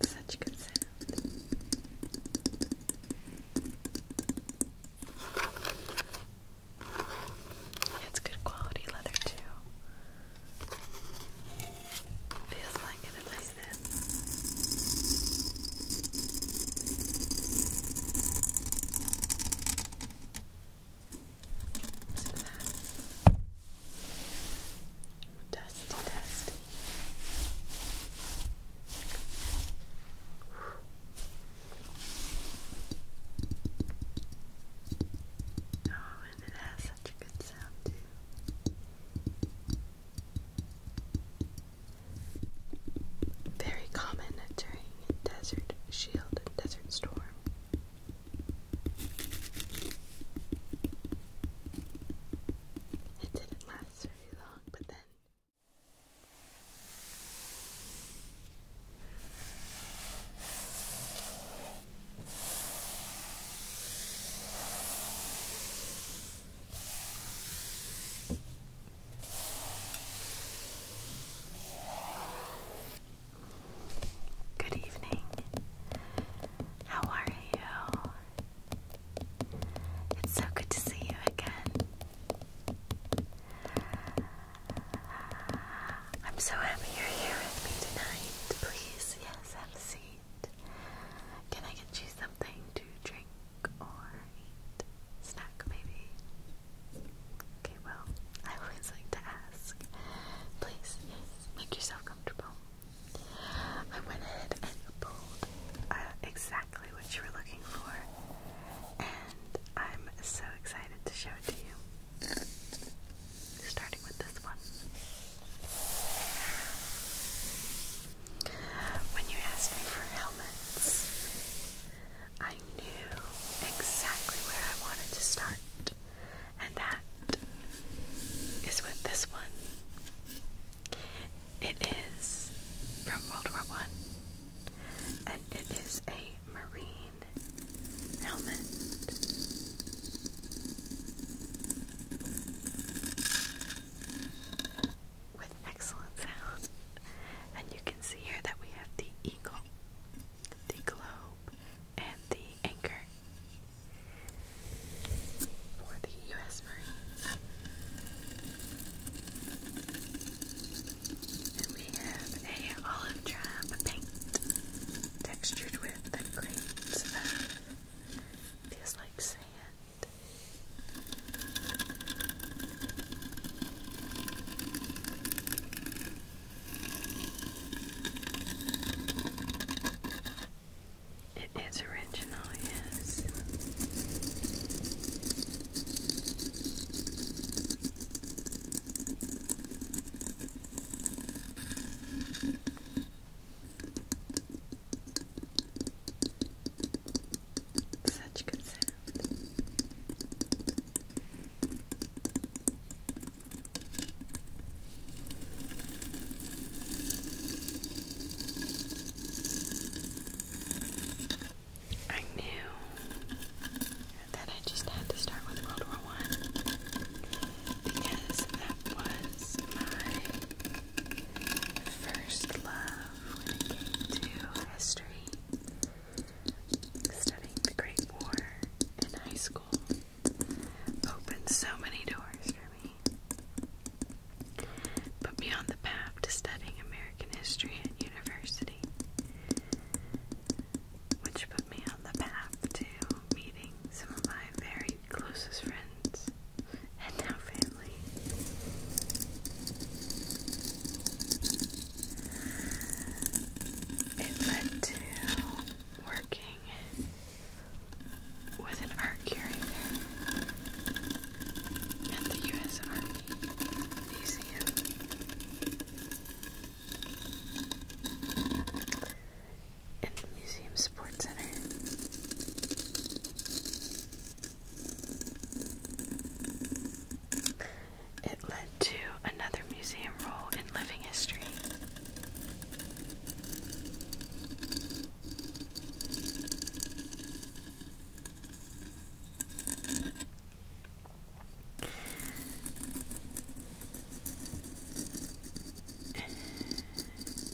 Such good sound. It's good quality leather too. Feels like it at to that. dusty. Oh, and it has such a good sound too. Very common during desert shield and desert storm. It didn't last very long, but then. Good evening. How are you? It's so good to see you again. I'm so happy you're here with me tonight. Please, yes, have a seat. Can I get you something to drink or eat? Snack, maybe? Okay, well, I always like to ask. Please, make yourself comfortable. I went ahead and pulled uh, exactly what you were looking for, and I'm so excited to show it to you. Starting with this one. When you asked me for helmets, I knew exactly where I wanted to start. And that is with this one. It is from World War One, and it is a marine helmet. With excellent sound, and you can see here that we have the eagle, the glow and the anchor for the U.S. Marines. And we have a olive drab paint textured with the grains of feels like sand. It is original, yes. Such good sound. I knew that I just had to start with World War One because that was my first love when it came to history studying the Great War in high school opened so many doors for me. Put me on the path to studying American history at university, which put me on the path to meeting some of my very closest friends and now family. It led to working with an art curator at the U.S. Army Museum. In the Museum Sports Center. It led to another museum role in living history.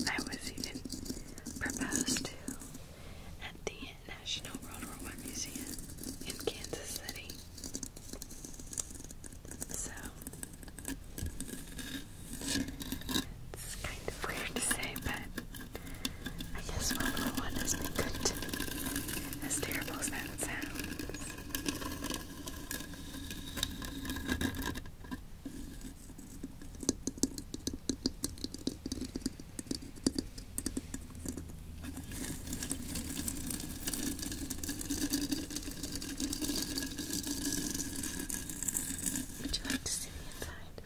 I was even proposed to at the National World War I Museum in Kansas City. So it's kind of weird to say, but I guess World War One has been good to me. As terrible as that sounds. Would you like to see inside?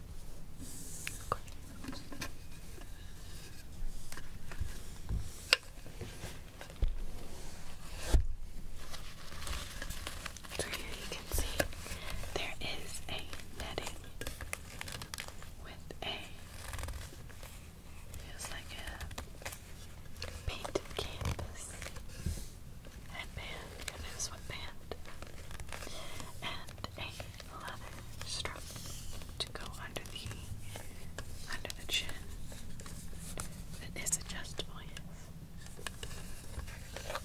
So here you can see there is a netting with a Feels like a painted canvas headband, kind of and a leather strap to go under the under the chin. It is adjustable, You can feel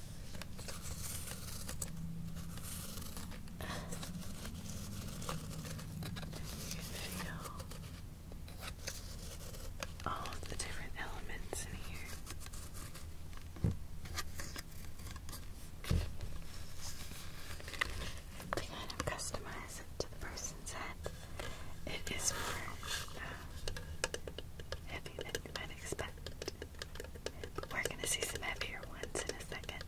all oh, the different elements in here. To kind of customize it to the person's head, it is more uh, heavy than you might expect. we're going to see some heavier ones in a second.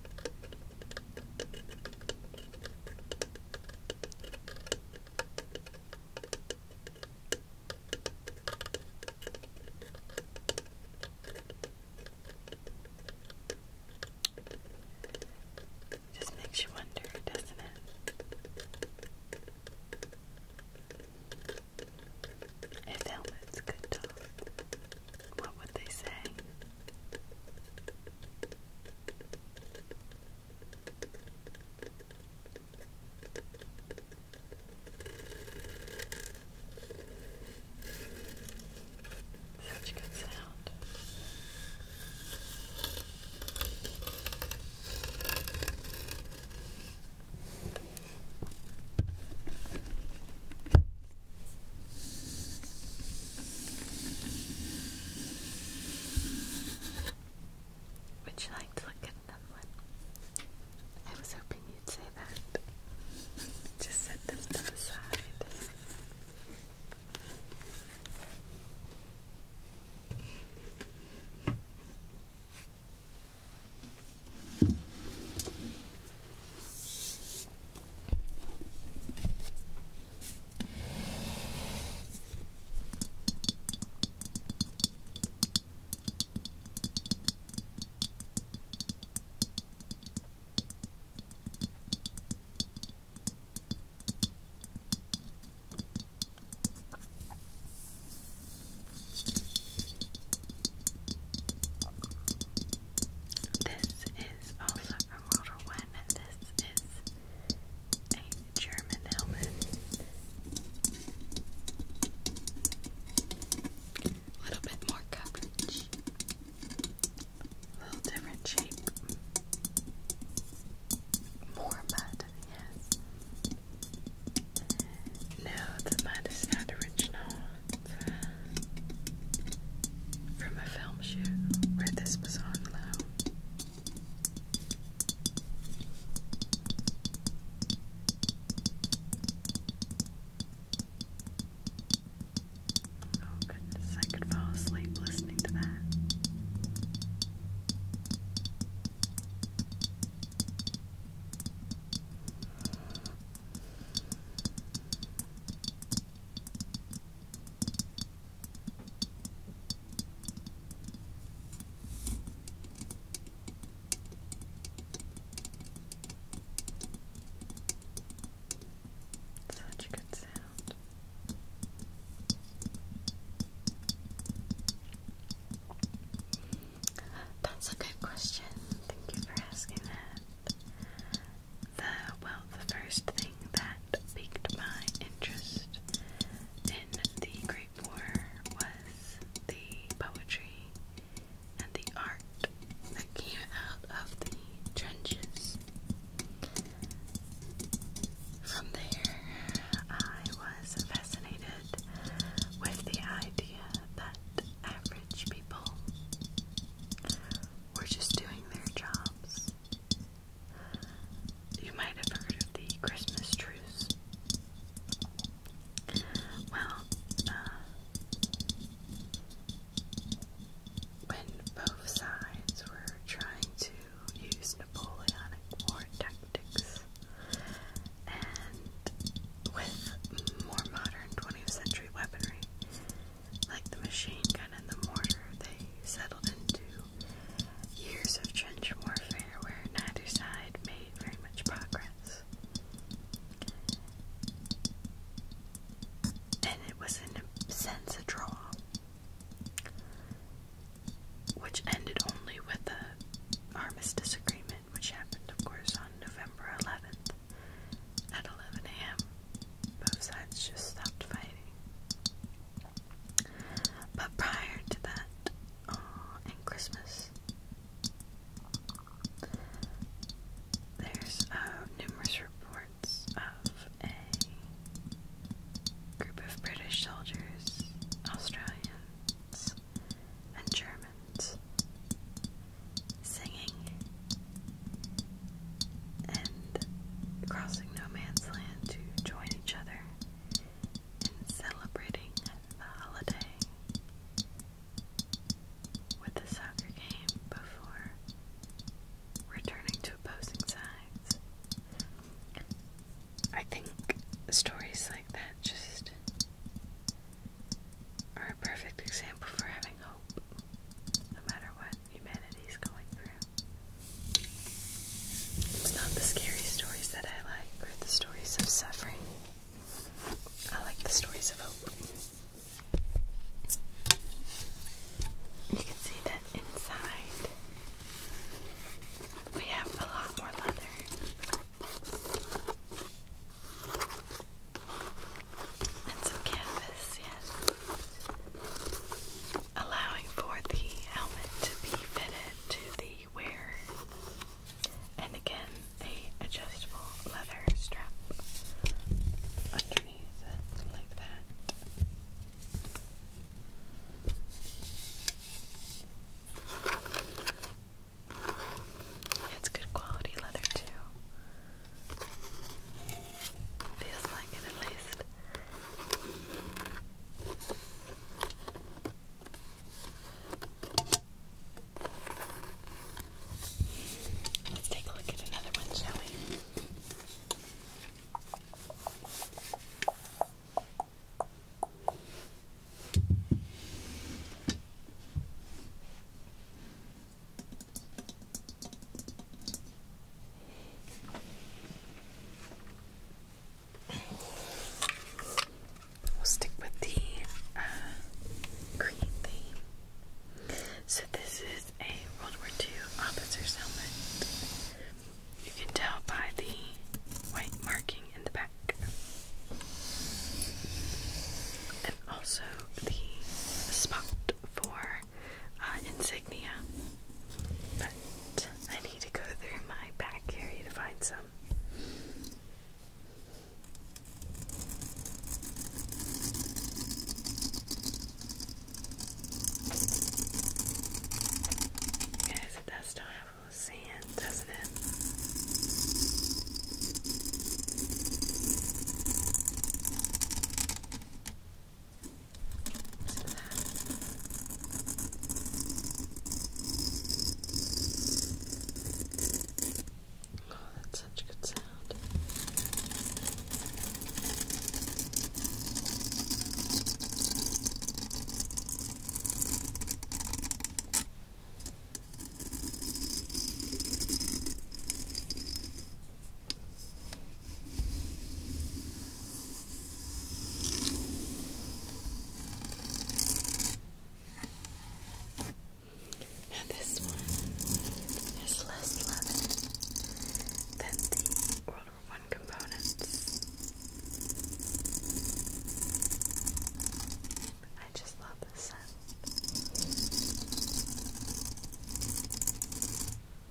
Just makes you wonder, doesn't it? If helmets could talk, what would they say? Such a good sound. Would you like to look at another I was hoping you'd say that. Just set them to the side. This is also a little one. This is a German helmet. A little bit more coverage. A little different shape. More mud, yes. No, the mud is not original from a film shoot where this was on loan. Oh goodness, I could fall asleep listening to that. Such a good sound. That's a good question. Thank you for asking that the well, the first thing that piqued my interest in the Great War was the poetry and the art that came out of the trenches. From there, I was fascinated with the idea that average people were just doing their jobs you might have heard of the Christmas truce. Well, uh, when both sides were trying to use Napoleonic war tactics, and with more modern 20th century weaponry, like the machine gun and the mortar, they settled into years of trench warfare where neither side made very much progress. And it was, in a sense, a draw, which ended only with the armistice agreement, which happened, of course, on November 11th at 11 a.m both sides just stopped fighting. But prior to that, oh, and Christmas, there's uh, numerous reports of a group of British soldiers, Australians, and Germans singing and crossing no man's land to join each other in celebrating the holiday with a soccer game before returning to opposing sides. I think stories like that just are a perfect example for having no matter what humanity's going through. It's not the scary stories that I like, or the stories of suffering. I like the stories of hope. You can see that inside we have a lot more leather. And some canvas, yes allowing for the helmet to be fitted to the wearer. And again, a adjustable leather strap underneath like that. It's good quality leather too. Feels like it at least. Let's take a look at another one, shall we? We'll stick with the uh, green theme. So this is a World War II officer's helmet. You can tell by the white marking in the back, and also the spot for uh, insignia. But I need to go through my back area to find some. Yes, it does still have a little sand, doesn't it? Listen to that. Oh, that's such a good sound. And this one is less lemon than the World One components. I just love the scent.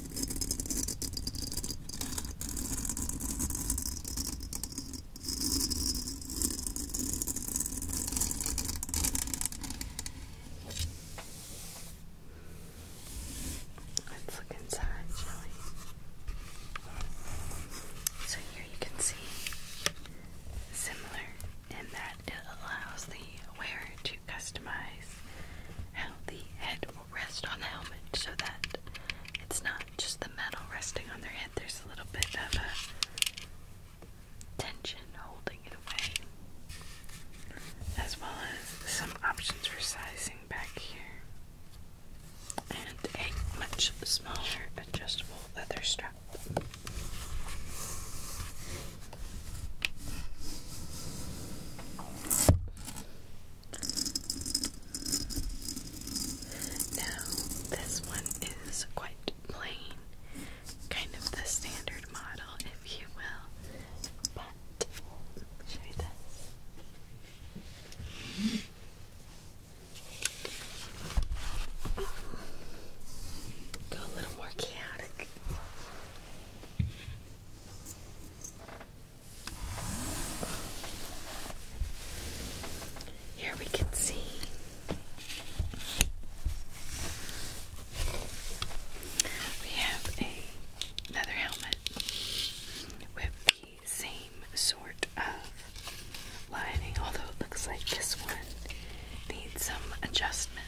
Let's look inside, So here you can see similar in that it allows the wearer to customize how the head will rest on the helmet so that it's not just the metal resting on their head, there's a little bit of a tension holding it away, as well as some options for sizing back here, and a much smaller adjustable leather strap. Now, this one is quite plain, kind of the standard model, if you will. But, show you this. Go a little more chaotic. Here we can see we have a, another helmet with the same sort of lining, although it looks like this one needs some adjustment.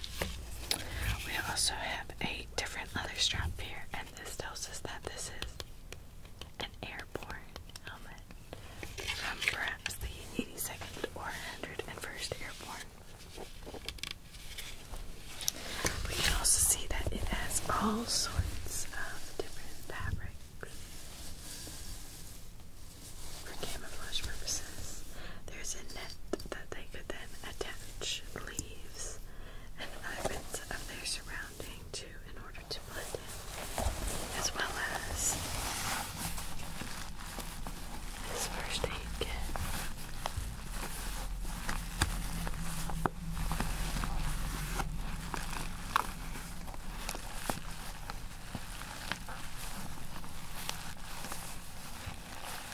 We also have a different leather strap here, and this tells us that this is an airborne helmet from the 82nd or 101st Airborne. We can also see that it has all sorts of different fabrics for camouflage purposes. There's a net that they could then attach leaves and fragments of their surrounding too in order to blend in, as well as his first aid kit.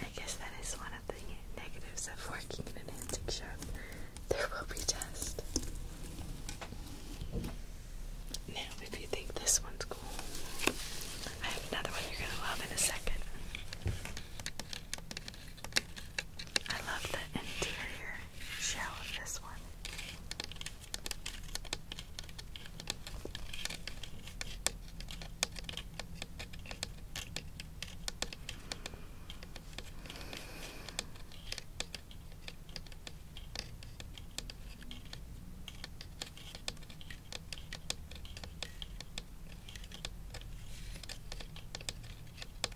I guess that is one of the negatives of working in an antique shop. There will be dust. Now, if you think this one's cool, I have another one you're gonna love in a second. I love the interior shell of this one.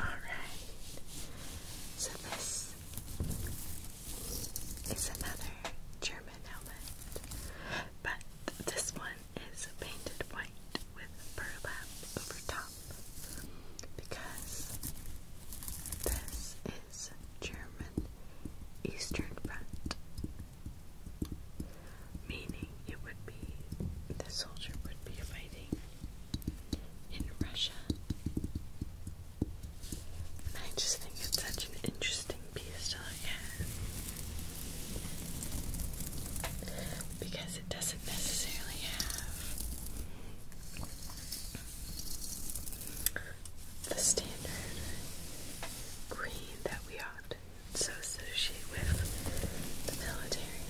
Alright, so this is another German helmet, but this one is painted white with burlap over top because this German Eastern Front, meaning it would be the soldier would be fighting in Russia. And I just think it's such an interesting piece to look at because it doesn't necessarily have the standard green that we often so associate with the military.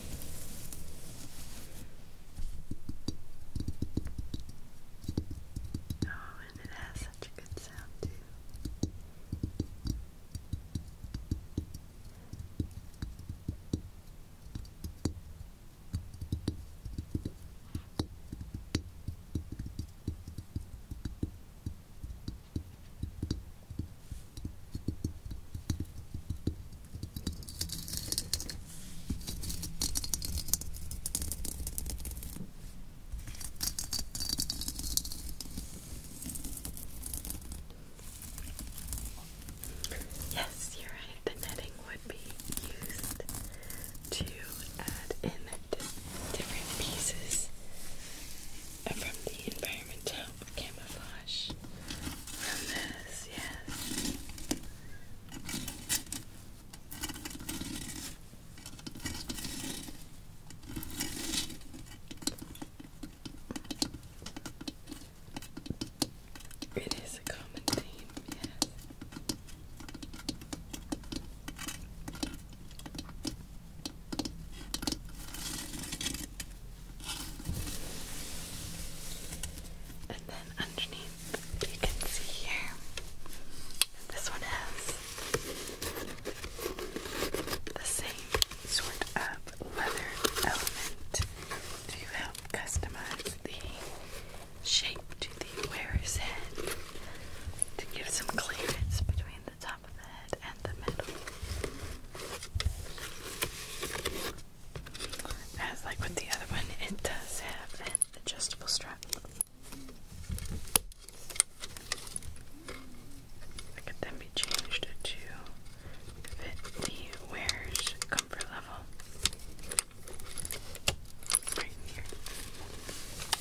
Oh, and it has such a good sound too. Yes, you're right, the netting would be used to add in different pieces from the environmental camouflage from yes. It is a common theme, yes. And then underneath, you can see here, this one has the same sort of leather element to help customize the shape the wearer's head to give some clearance between the top of the head and the middle. As like with the other one, it does have an adjustable strap. It could then be changed to fit the wearer's comfort level.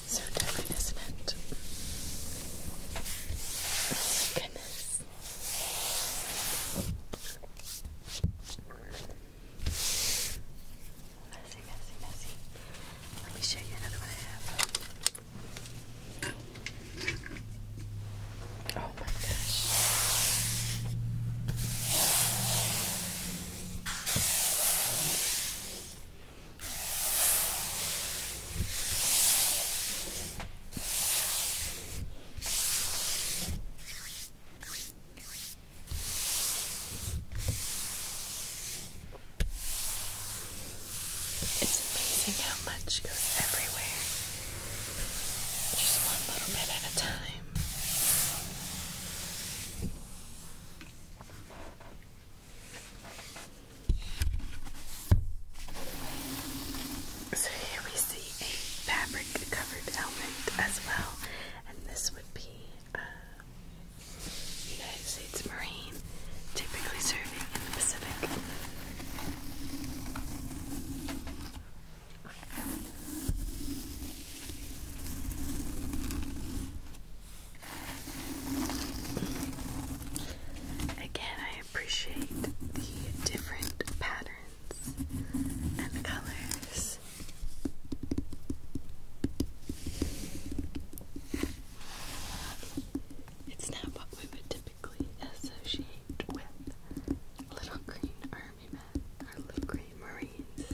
So different, isn't it? Oh my goodness. Messy, messy, messy. Let me show you another one Oh my gosh. It's amazing how much goes everywhere, just one little bit at a time. So here we see a fabric covered helmet as well, and this would be uh, United States Marine, typically serving in the Pacific. Again, I appreciate the different patterns and colors. It's not what we would typically associate with little green army men or little green marines.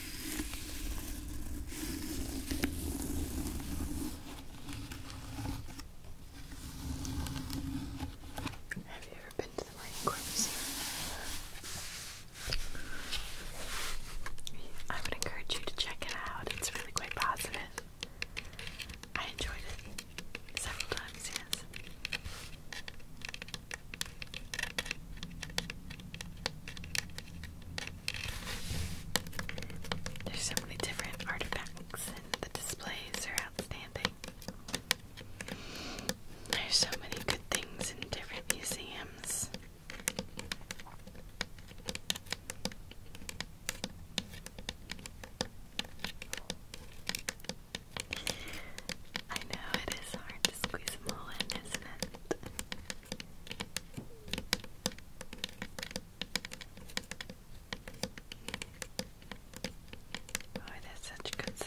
Have you ever been to the microwave I would encourage you to check it out. It's really quite positive. I enjoyed it several times, yes. There's so many different artifacts, and the displays are outstanding. There's so many good things in different museums. I know it is hard to squeeze them in, isn't it? Oh, that's such a good sound.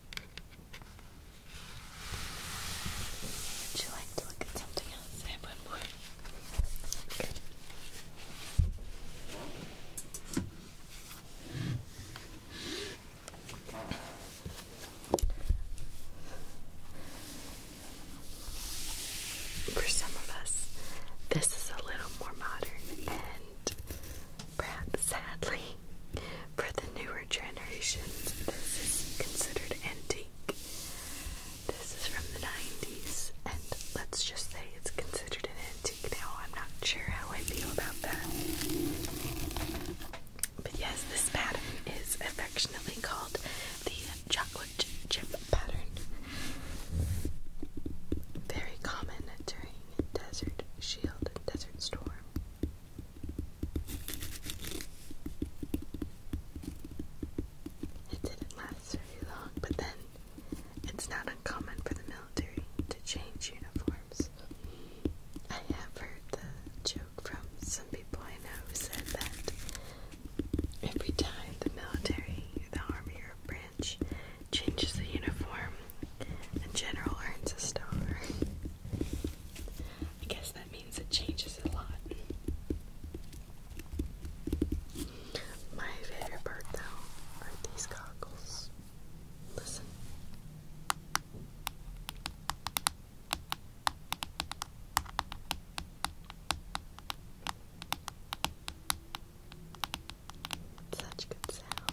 Would you like to look at something else? I one more. For some of us, this is a little more modern and perhaps sadly for the newer generations, this is considered antique. This is from the 90s, and let's just say it's considered an antique now. I'm not sure how I feel about that. But yes, this pattern is affectionately called the chocolate chip pattern. Very common during desert shield and desert storm. It didn't last very long, but then it's not uncommon for the military to change uniforms. I have heard the joke from some people I know who said that every time the military, the army, or branch changes the uniform, a general earns a star. I guess that means it changes a lot. My favorite part, though, are these goggles. Listen. Such good sound.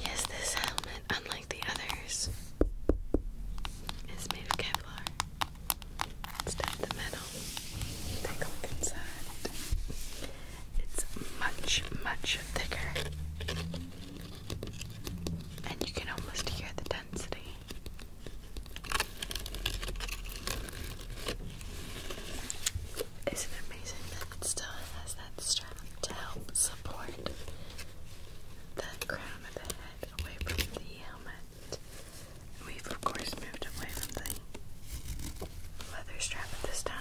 Yes, this helmet, unlike the others, is made of Kevlar. Instead of metal, take a look inside. It's much, much thicker and you can almost hear the density. Isn't it amazing that it still has that strap to help support the crown of the head away from the helmet? we've of course moved away from the leather strap at this time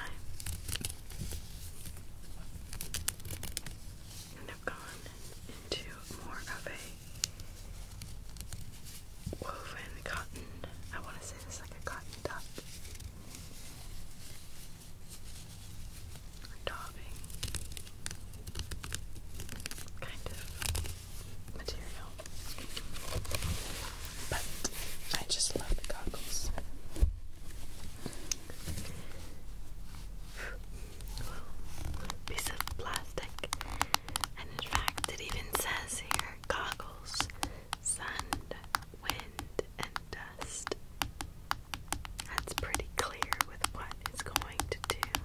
gone into more of a woven cotton. I want to say this like a cotton duck. Or kind of material. But I just love the goggles piece of plastic. And in fact, it even says here goggles, sun, wind, and dust. That's pretty clear with what it's going to do.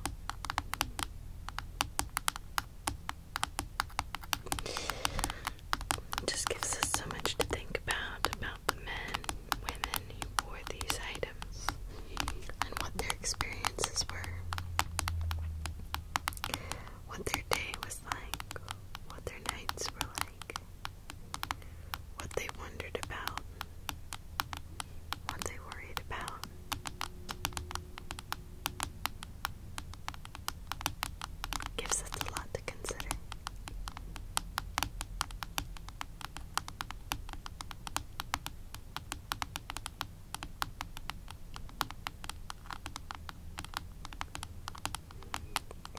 It just gives us so much to think about about the men women who wore these items and what their experiences were, what their day was like, what their nights were like, what they wondered about, what they worried about. Gives us a lot to consider.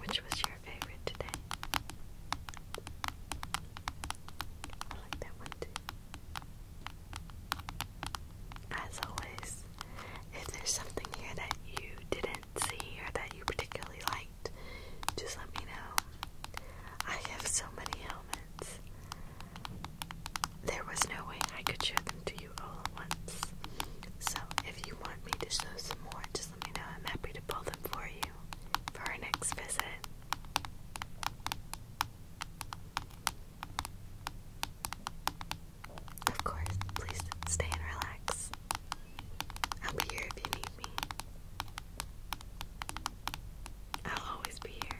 Which was your favorite today? I like that one too. As always, if there's something here that you didn't see or that you particularly like, just let me know. I have so many helmets. There was no way I could show them to you all at once. So if you want me to show some more, just let me know. I'm happy to pull them for you for our next visit. Of course, please stay and relax. I'll here if you need I'll always be here.